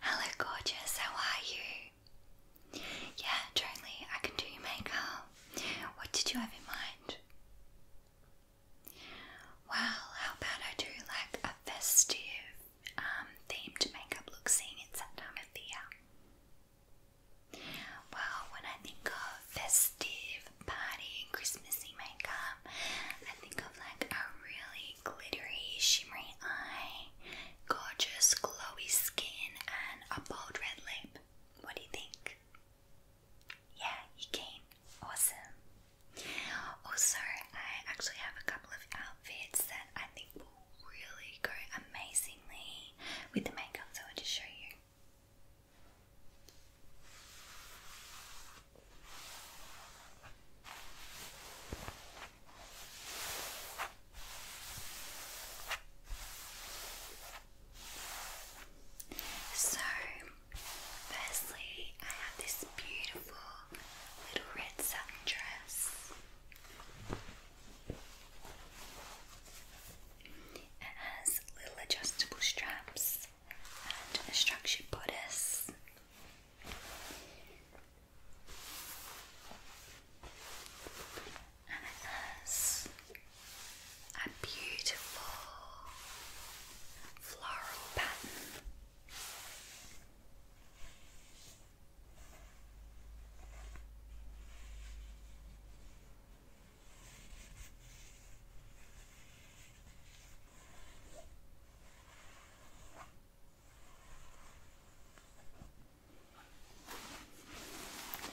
Hello, gorgeous. How are you? Yeah, totally. I can do your makeup. What did you have in mind? Well, how about I do like a festive um, themed makeup look, seeing in that time of the year? Um, well, when I think of festive, party, Christmassy makeup, think of like a really glittery, shimmery eye, gorgeous, glowy skin, and a bold red lip. What do you think? Yeah, you can. Awesome. Also, I actually have a couple of outfits that I think will really go amazingly with the makeup, so I'll just show you. So, firstly, I have this beautiful little red satin dress. It has little adjustable straps and a structured bodice. And it has a beautiful floral pattern.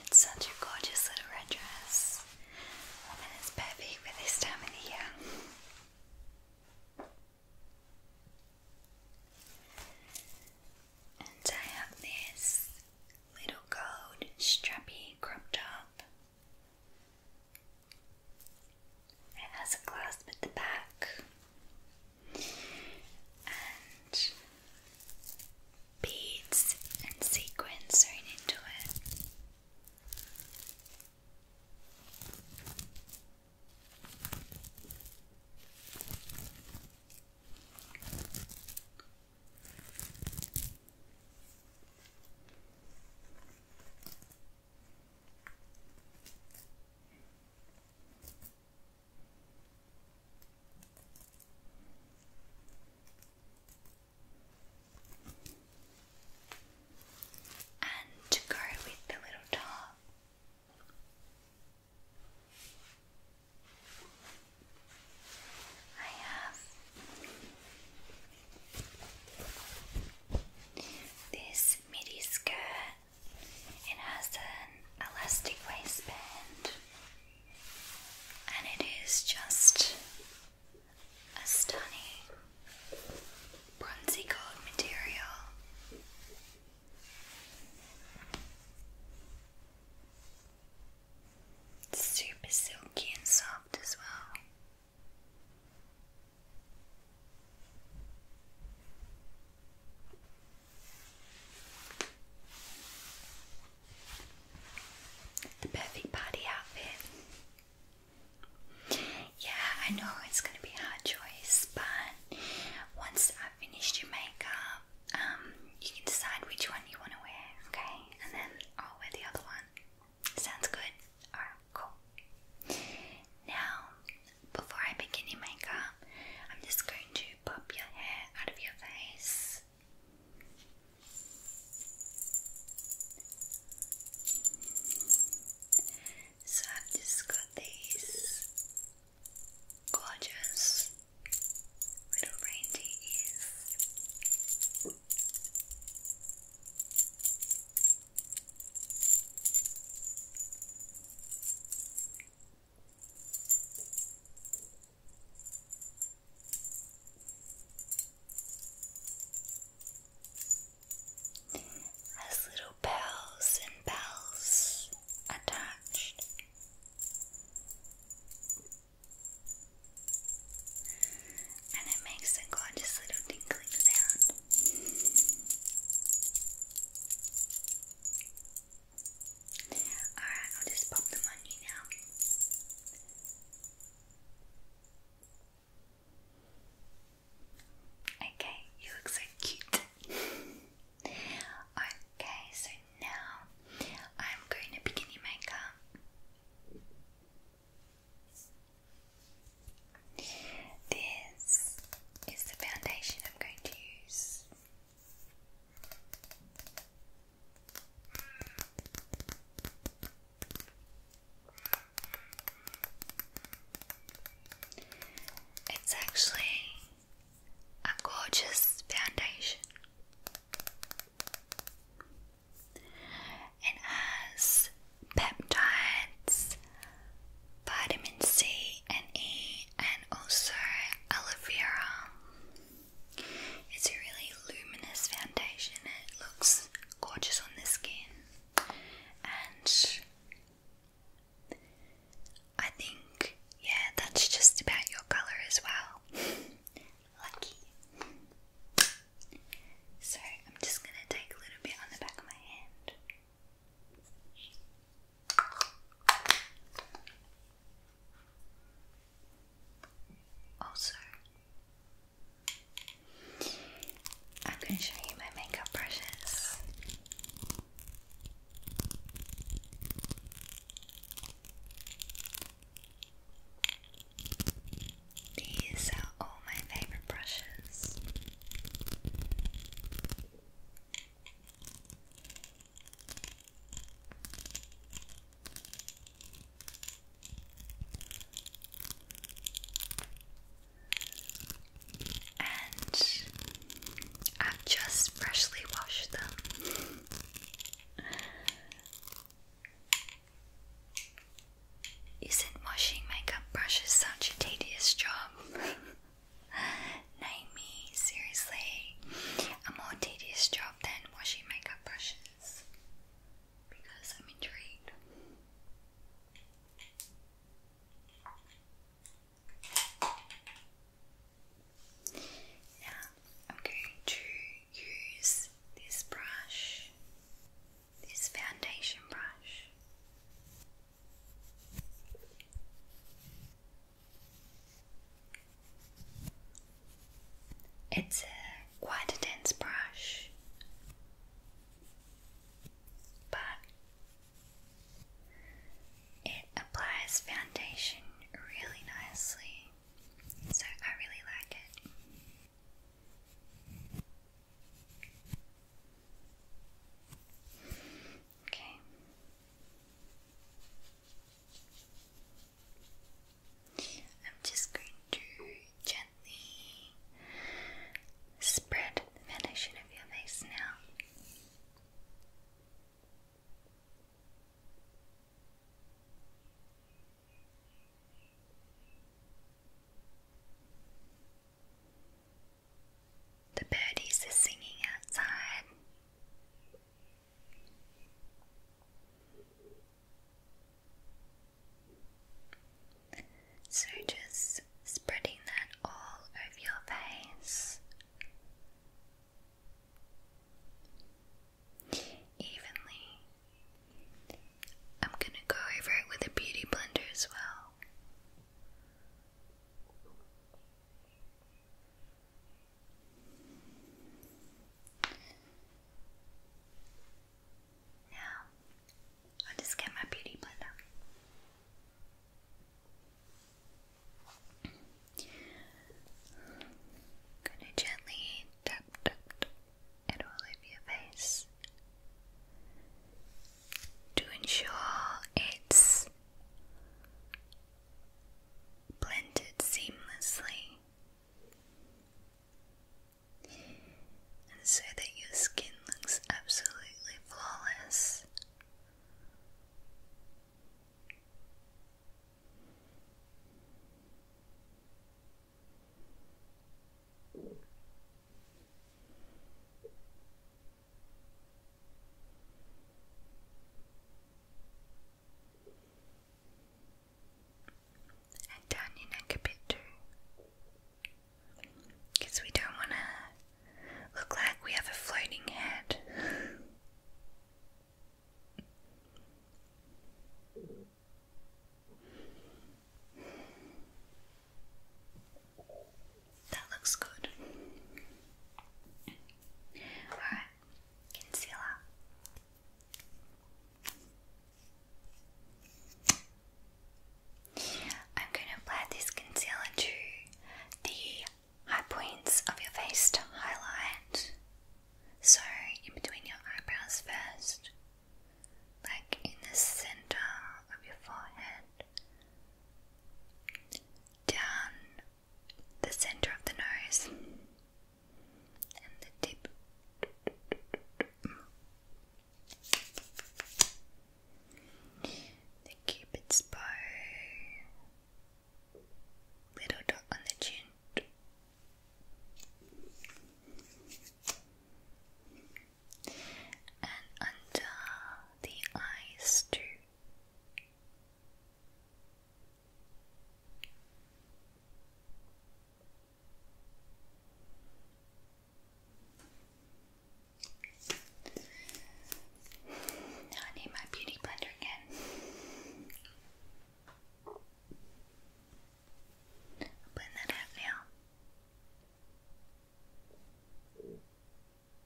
It's such a gorgeous little red dress, and it's perfect for this time of the year. And I have this little gold strappy crop top. It has a clasp at the back and beads and sequins sewn into it. And to go with the little top. I have this midi skirt it has an elastic waistband and it is just a stunning bronzy gold material. super silky and soft as well. The perfect party outfit. Yeah, I know it's gonna be a hard choice, but once I've finished your makeup, um, you can decide which one you want to wear, okay? And then I'll wear the other one. Sounds good? Alright. Cool. Now, before I begin your makeup, I'm just going to pop your hair out of your face. So i just got these gorgeous little reindeer has little bells and bells attached. And it makes a gorgeous little tinkle Alright, I'll just pop them on you now. Okay, you look so cute. okay, so now I'm going to begin your makeup. This is the foundation I'm going to use. It's actually a gorgeous foundation and has peptides, vitamin C and E, and also aloe vera. It's a really luminous foundation, it looks gorgeous on the skin, and I think, yeah, that's just about your colour as well. Lucky. So, I'm just going to take a little bit on the back of my hand. Also, I'm going to show you my makeup brushes. These are all my favorite brushes. And I've just freshly washed them. Isn't washing makeup brushes such a tedious job? Naomi, seriously, a more tedious job than washing makeup brushes. Because I'm intrigued. Now I'm going to use this brush, this foundation brush. It's quite a dense brush, but it applies foundation really nicely, so I really like it. Okay. I'm just going to gently spread the foundation of your face now. The birdies are singing outside. So just spreading that all over your face. Evenly. I'm going to go over it with a beauty blender as well. Now, I'll just get my beauty blender. Gonna gently tap, tap, tap it all over your face to ensure it's blended seamlessly and so that your skin looks absolutely flawless and down your neck a bit too, because we don't want to look like we have a floating head. That looks good. Alright, concealer. I'm going to apply this concealer to the high points of your face to highlight. So, in between your eyebrows first, like in the center of your forehead down the center of the nose and the tip. The cupid's bow, little dot on the chin. And under the eyes too. I need my beauty blender again. Blend that out now.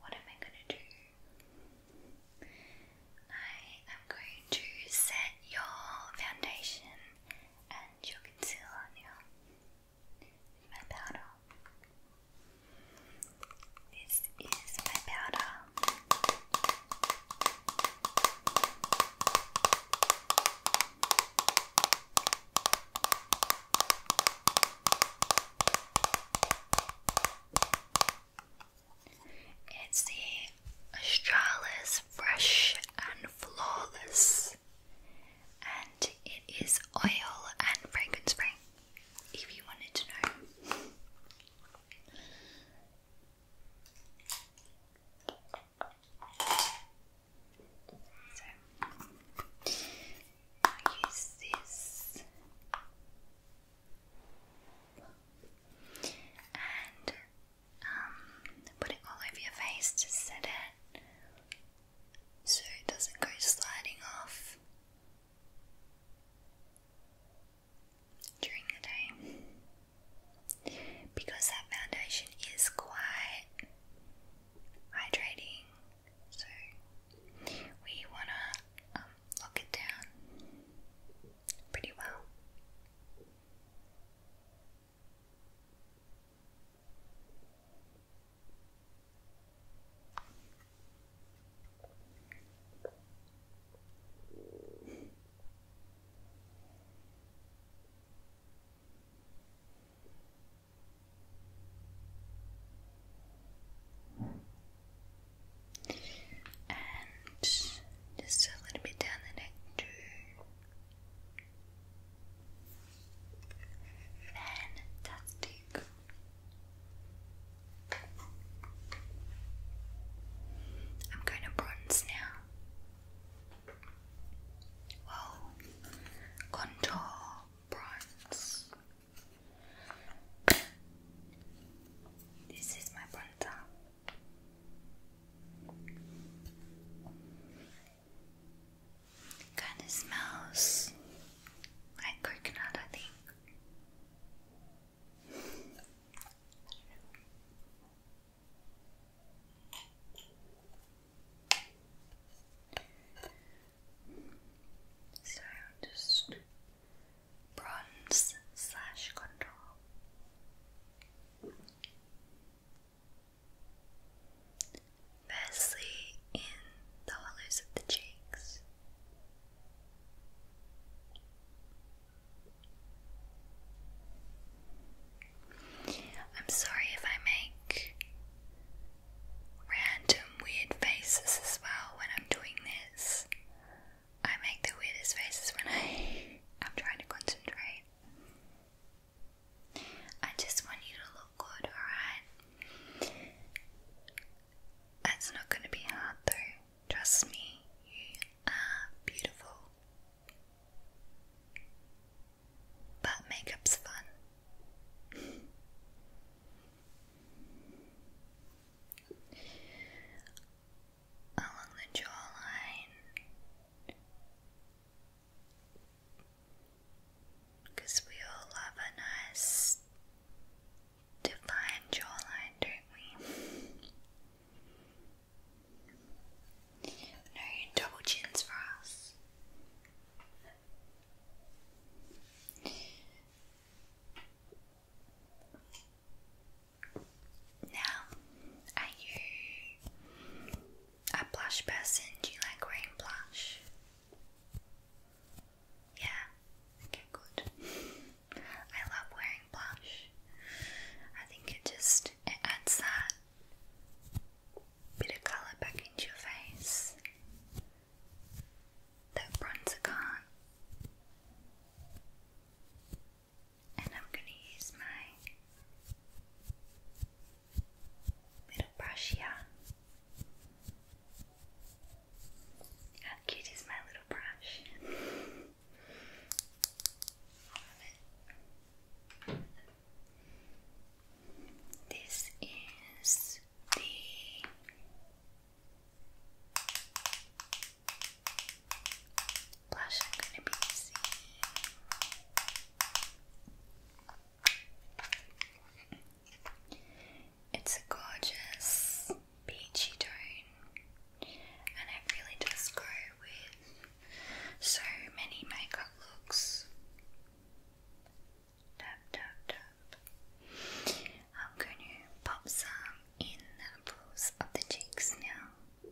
what am I going to do? I am going to set your foundation and your concealer with my powder. This is my powder. It's the Australis Fresh and Flawless, and it is oil and fragrance free. If you wanted to know. So I use this and um, put it all over your face to set it so it doesn't go sliding off during the day because that foundation is quite hydrating so we wanna um, lock it down pretty well and just a little bit down the neck too. Fantastic. I'm going to bronze now. Well, contour bronze. This is my bronzer. Kind of smells like coconut, I think. So just bronze slash contour. Firstly, in the hollows of the cheeks. I'm sorry if I make random weird faces as well when I'm doing this. I make the weirdest faces when I i am trying to concentrate. I just want you to look good, alright? That's not going to be hard though. Trust me, you are beautiful. But makeup's fun. Along the jawline. we all love a nice defined jawline, don't we? No double chins for us. Now, are you a blush person? Do you like wearing blush? Yeah, okay, good. I love wearing blush. I think it just it adds that bit of colour back into your face that bronzer can And I'm going to use my little brush here. How cute is my little brush? Love it. This is blush I'm going to be using. It's a gorgeous peachy tone, and it really does go with so many makeup looks tap, tap, tap. I'm going to pop some in the pools of the cheeks now.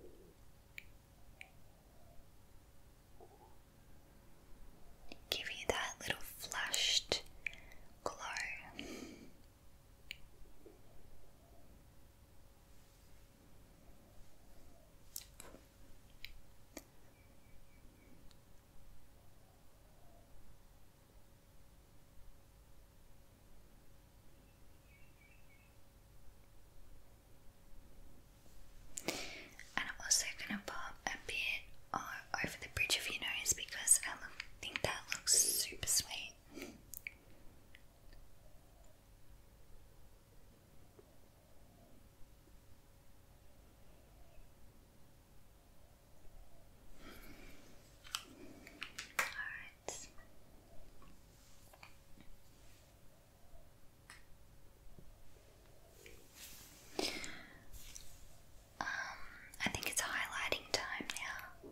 Give you that little flushed glow. And I'm also gonna pop a bit uh, over the bridge of your nose because I think that looks super sweet. Um, I think it's highlighting time now.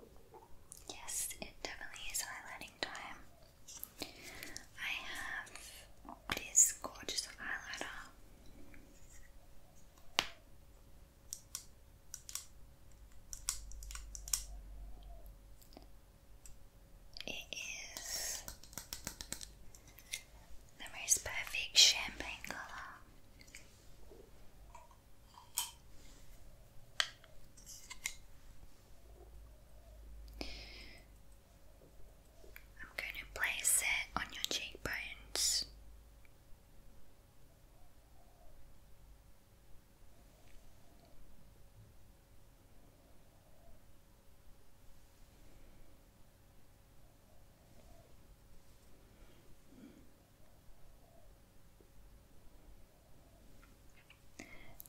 Yes, it definitely is highlighting time. I have this gorgeous highlighter it is the most perfect champagne color. I'm going to place it on your cheekbones.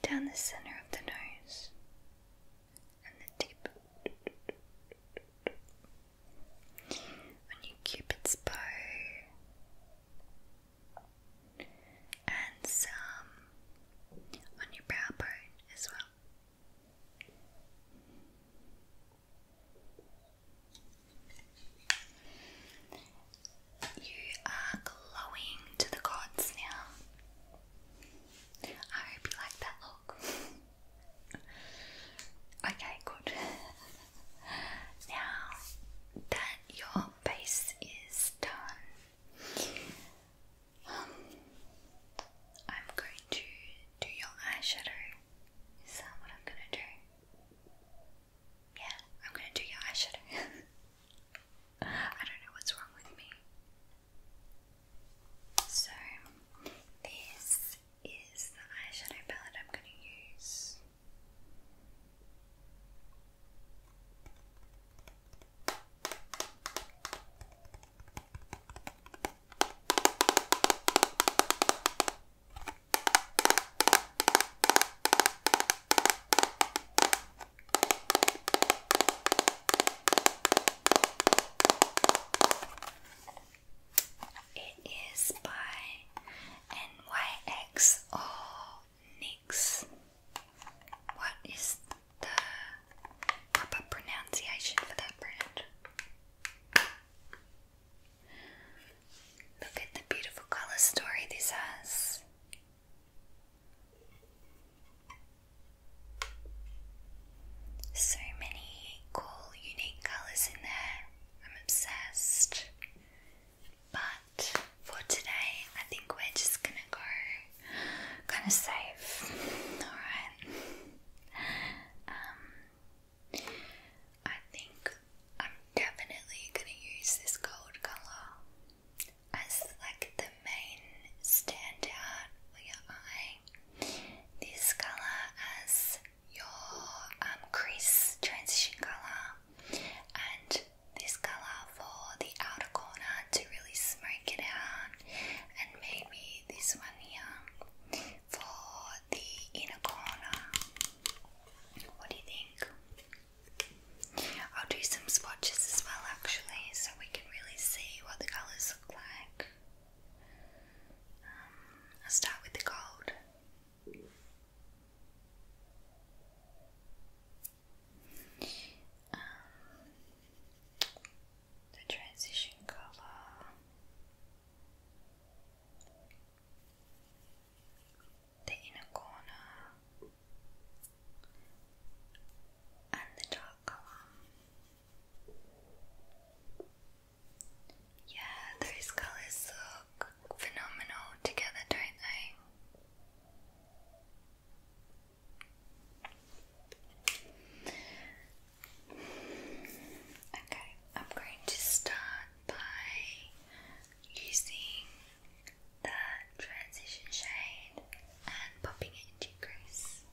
Down the center of the nose and the tip on your cupid's bow and some on your brow bone as well. You are glowing to the gods now. I hope you like that look. okay, good. now that your base is done, um, I'm going to do your eyeshadow. Is that what I'm gonna do? Yeah, I'm gonna do your eyeshadow. I don't know what's wrong with me. So, this is the eyeshadow palette I'm going to use. It is by NYX or Nix. What is the proper pronunciation for that brand? Look at the beautiful colour story this has. So many cool, unique colours in there. I'm obsessed. But for today, I think we're just gonna go kind of safe. Alright. Um, I think I'm definitely gonna use this gold colour as like the main standout for your eye. This color as your um, crease transition color, and this color for the outer corner to really smudge it out, and maybe this one here for the inner corner. What do you think? I'll do some swatches as well, actually, so we can really see what the colors look like. Um, I'll start with the gold. Um, the transition color, the inner corner, and the dark color. Yeah, their colors look phenomenal together, don't they? Okay, I'm going to start by using the transition shade and popping it into crease.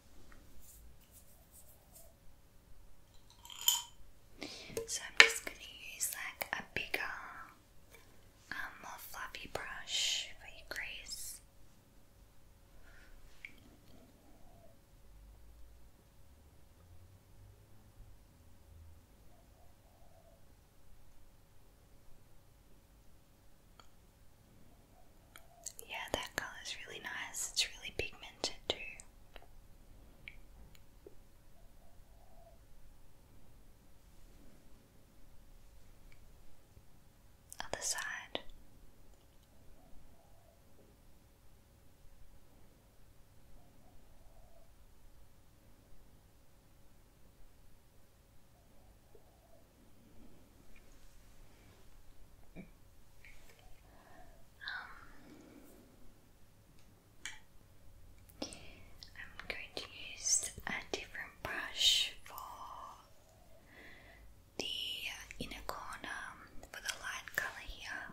So I'm just going to use like a bigger, um, more fluffy brush for your crease. Yeah, that colour is really nice. It's really pigmented too. Other side. Um, I'm going to use a different brush for the inner corner for the light color here.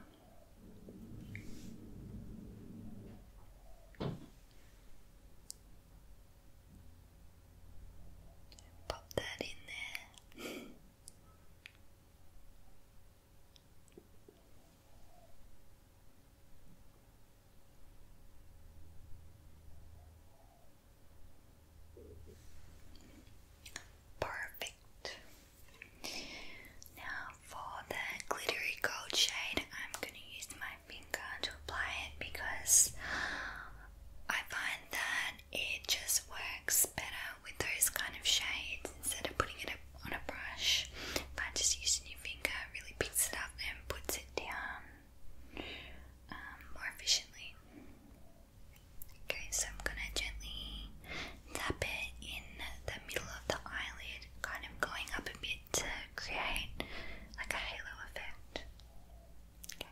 Pop that in there. Perfect. Now for the glittery gold shade, I'm gonna use my finger to apply it because I find that it just works better with those kind of shades instead of putting it up on a brush by just using your finger really picks it up and puts it down um, more efficiently okay so I'm gonna gently tap it in the middle of the eyelid kind of going up a bit to create like a halo effect okay.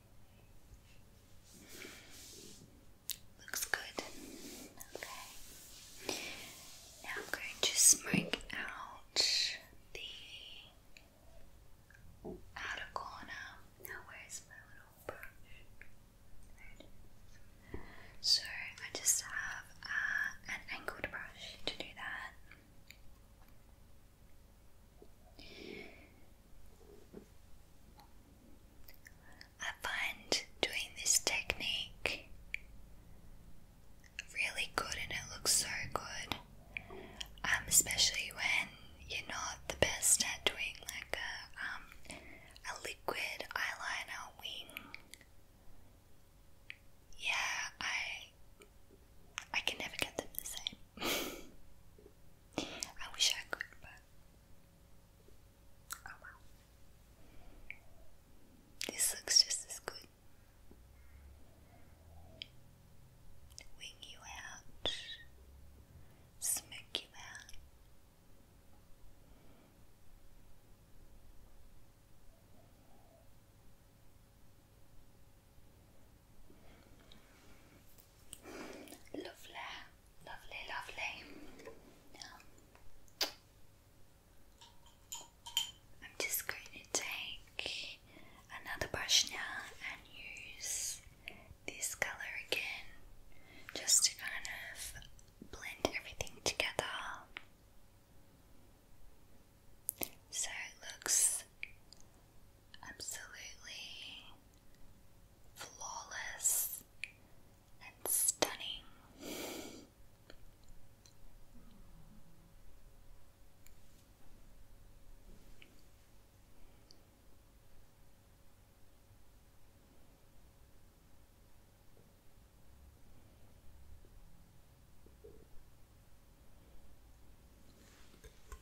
Looks good. Okay. Now I'm going to smirk out the outer corner. Now where's my little brush? So I just have uh, an angled brush to do that. I find doing this technique really good and it looks so good, um, especially when you're not the best at doing like a, um, a liquid eyeliner wing. Yeah, I I can never get them the same. I wish I could, but oh well. This looks just as good. Wing you out, smoke you out. Lovely, lovely, lovely. I'm just going to take another brush now and use this color again just to kind of blend everything together. So it looks absolutely flawless and stunning.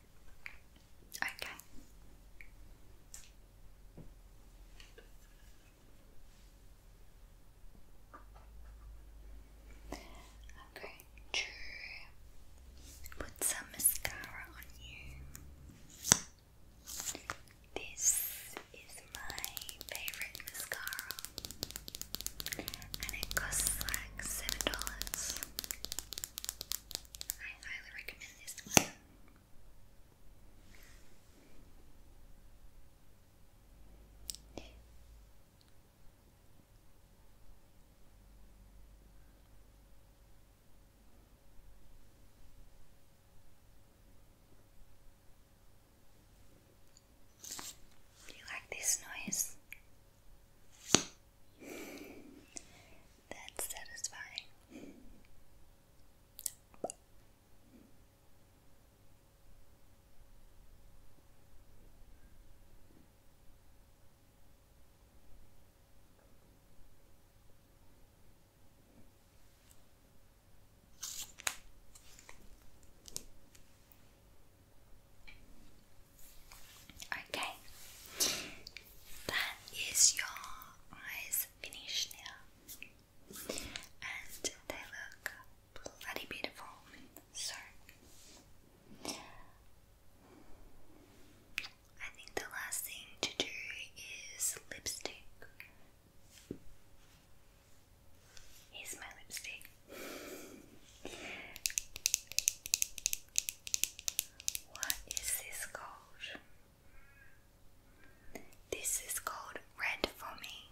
Okay. Okay, true. Put some mascara on you. This is my favorite mascara, and it costs like seven dollars. I highly recommend this one. you like this noise? That's satisfying. Okay, that is your eyes finished now, and they look bloody beautiful. So, I think the last thing to do is lipstick. Here's my lipstick. What is this called? This is called Red for Me.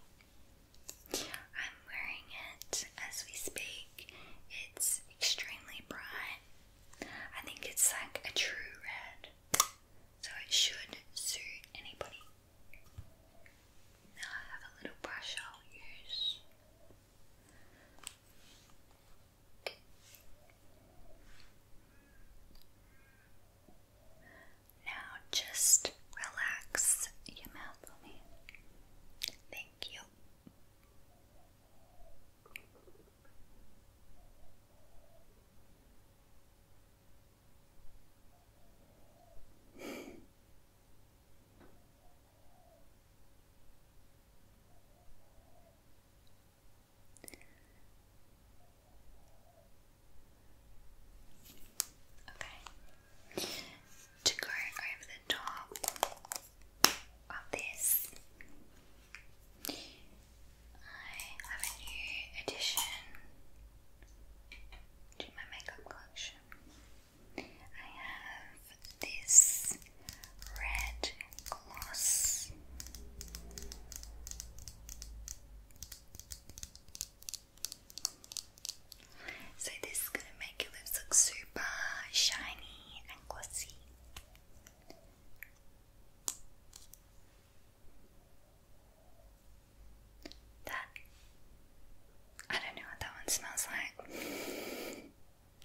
I'm wearing it as we speak. It's extremely bright. I think it's like a true red, so it should suit anybody. Now I have a little brush I'll use. Now just relax your mouth for me. Thank you. Okay. To go over the top of this, I have a new addition to my makeup collection. I have this red gloss. So this is gonna make your lips look super shiny and glossy. That I don't know what that one smells like.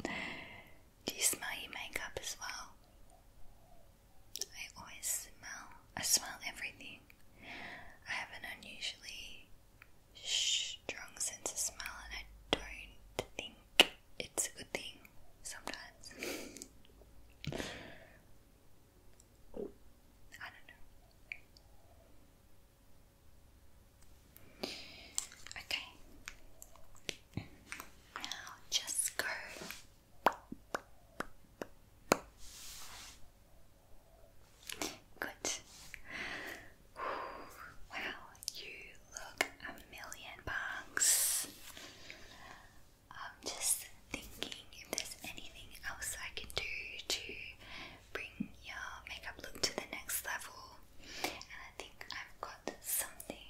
Do you smell your makeup as well? I always smell. I smell everything. I have an unusually strong sense of smell, and I don't think it's a good thing sometimes. I don't know. Okay. Now just go. Good. Wow, you look a million bucks. I'm just thinking if there's anything else I can do to bring your makeup look to the next level. And I think I've got something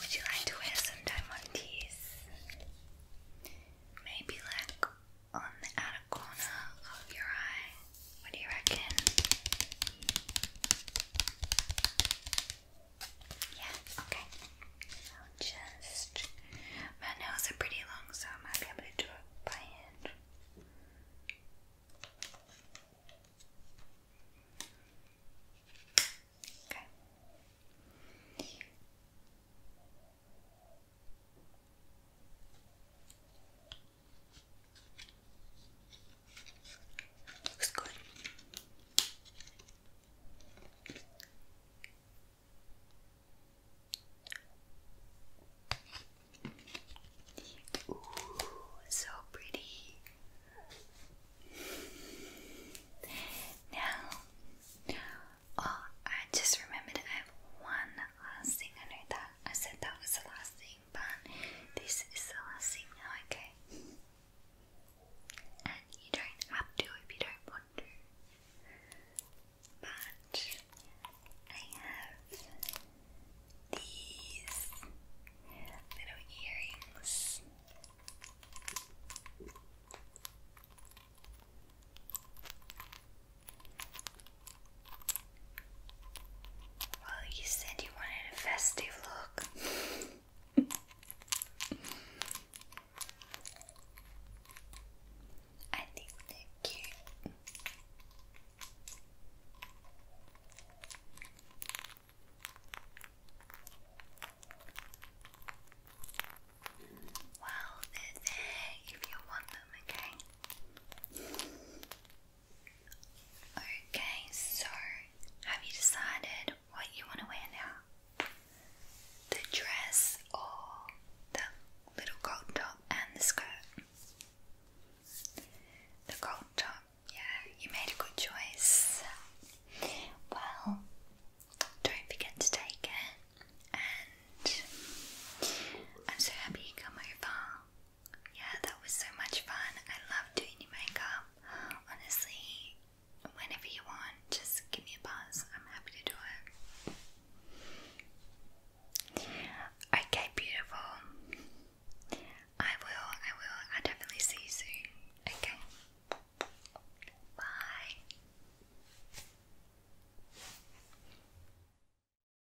would you like to wear some diamond teeth? Maybe like on the outer corner of your eye. What do you reckon? Yeah, okay. I'll just. My nails are pretty long, so I might be able to do it by Okay so pretty. Now, oh, I just remembered I have one last thing under that. I said that was the last thing pan. This is the last thing now, okay? And you don't have to if you don't want to. But I have these little earrings. Well, you said you wanted a festive look. I think they're cute. Well, they're if you want them, okay? Okay, so have you decided what you want to wear now? The dress or the little gold top and the skirt? The gold top, yeah, you made a good choice. Well, don't forget to take it, and I'm so happy you come over. Yeah, that was so much fun. I love doing your makeup. Honestly, whenever you want, just give me a buzz. I'm happy to do it. Okay, beautiful. I will, I will. i definitely see you soon. Okay. Bye.